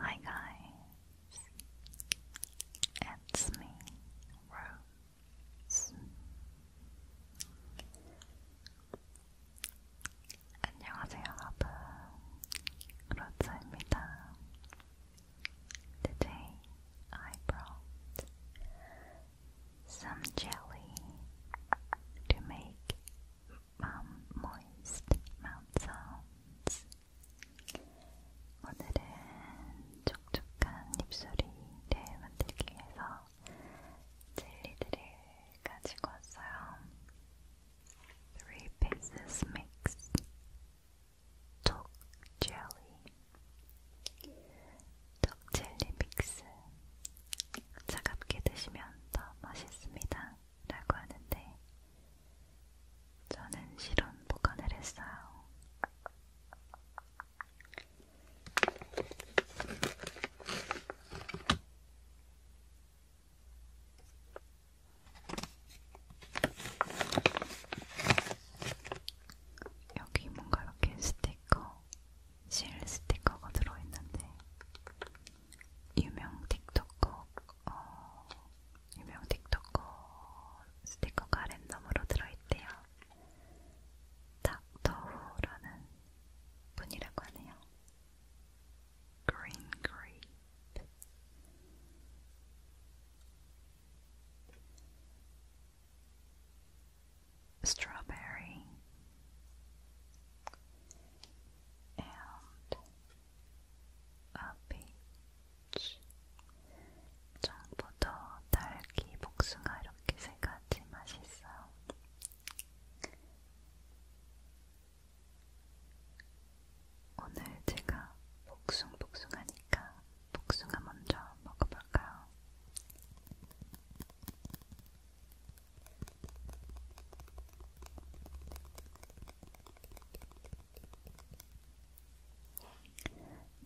Hi guys, it's me, Rose, 안녕하세요 여러분, 로즈입니다. Today I brought some jelly to make um, moist mouth sounds. 오늘은 촉촉한 입술이 잘 젤리들을 가지고 왔어요. Three pieces mix 톡 젤리, 톡 젤리 믹스 차갑게 드시면 더 맛있습니다 라고 하는데 저는 실온 보관을 했어요 여기 뭔가 이렇게 스티커, 실 스티커가 들어있는데 유명 틱톡커, 어, 유명 틱톡커 스티커가 랜덤으로 들어있대요. 닥터후라는 분이라고 하네요. 그린 그립 strawberry and a peach. 전부터 딸기, 복숭아 이렇게 세 가지 맛있어요. 오늘 제가 복숭복숭하니까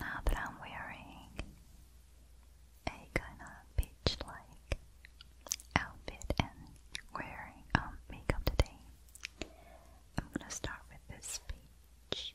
Now that I'm wearing a kind of beach like outfit and wearing um, makeup today, I'm gonna start with this beach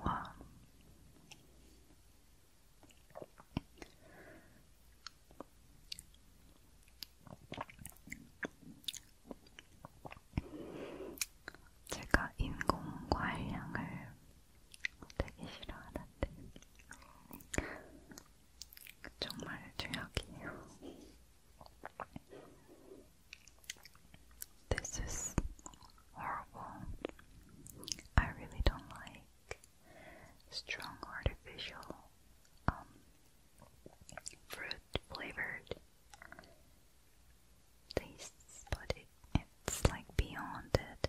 와. 제가 인공 과일향을 되게 싫어하는데 정말 죄악이에요. This is horrible. I really don't like strong artificial um, fruit flavored tastes, but it, it's like beyond it.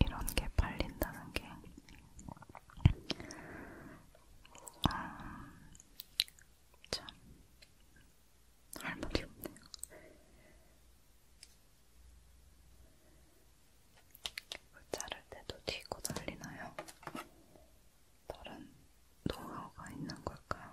이런 게 팔린다는 게 아, 참, 할 말이 없네요. 물 자를 때도 튀고 난리나요? 다른 노하우가 있는 걸까요?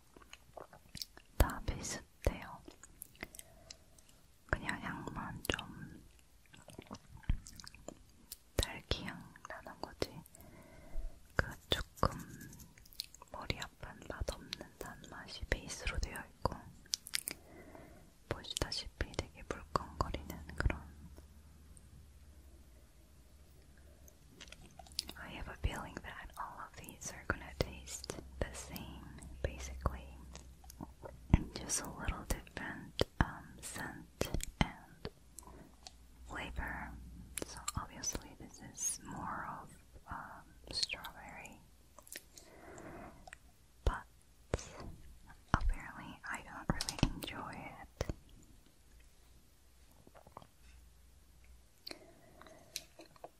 다 비슷해요. 그냥 향만 좀 딸기향 나는 거지. 그 조금 머리 아픈 맛없는 단맛이 베이스로 되어 있고 보시다시피 되게 물컹거리는 그런 I have a feeling that all these are gonna taste the same, basically, just a little different um, scent and flavor. So obviously, this is more of um, strawberry, but apparently, I don't really enjoy it.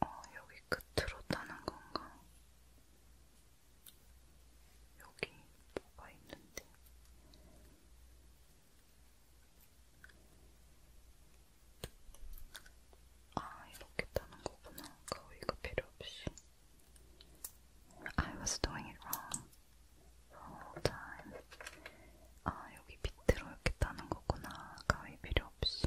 아, 여기 끝으로 따는 건가? 여기 뭐가 있는데? 아, 이렇게 따는 거구나. 가위가 필요 없이. I was doing it wrong. all time. 아, 여기 밑으로 이렇게 따는 거구나. 가위 필요 없이.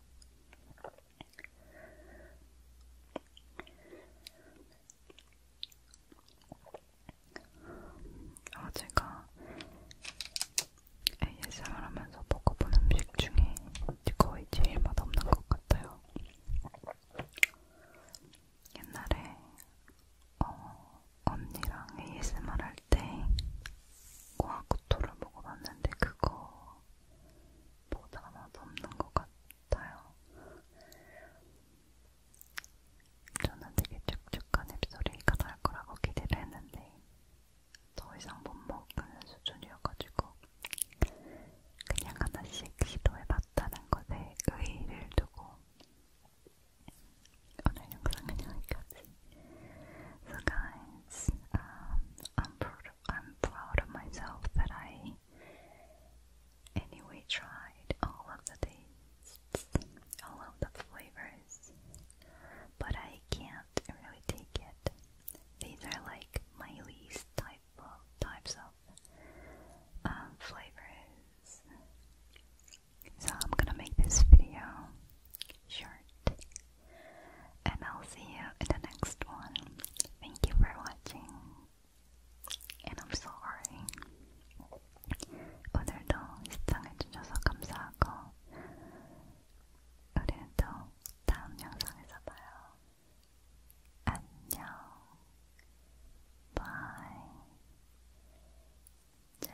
아, 제가 ASMR 하면서 먹어본 음식 중에 거의 제일 맛없는 것 같아요. 옛날에 어, 언니랑 ASMR 할때 고아쿠토를 먹어봤는데 그거보다 맛없는 것 같아요. 저는 되게 촉촉한 잎소리가 날 거라고 기대를 했는데 더 이상 못 먹는 수준이어가지고 그냥 하나씩 시도해봤다는 것에 의의를 두고 오늘 영상은 여기까지 So guys, um, I'm proud. I'm proud of myself that I anyway tried all of the tastes, all of the flavors, but I can't really take it. These are like my least type of types of um, flavors. So I'm gonna make this video short and I'll see you in the next one. Thank you for watching, and I'm sorry. 오늘도 시청해주셔서 감사하고, 우리는또 다음 영상에서 봐요. 안녕. 바이. 잘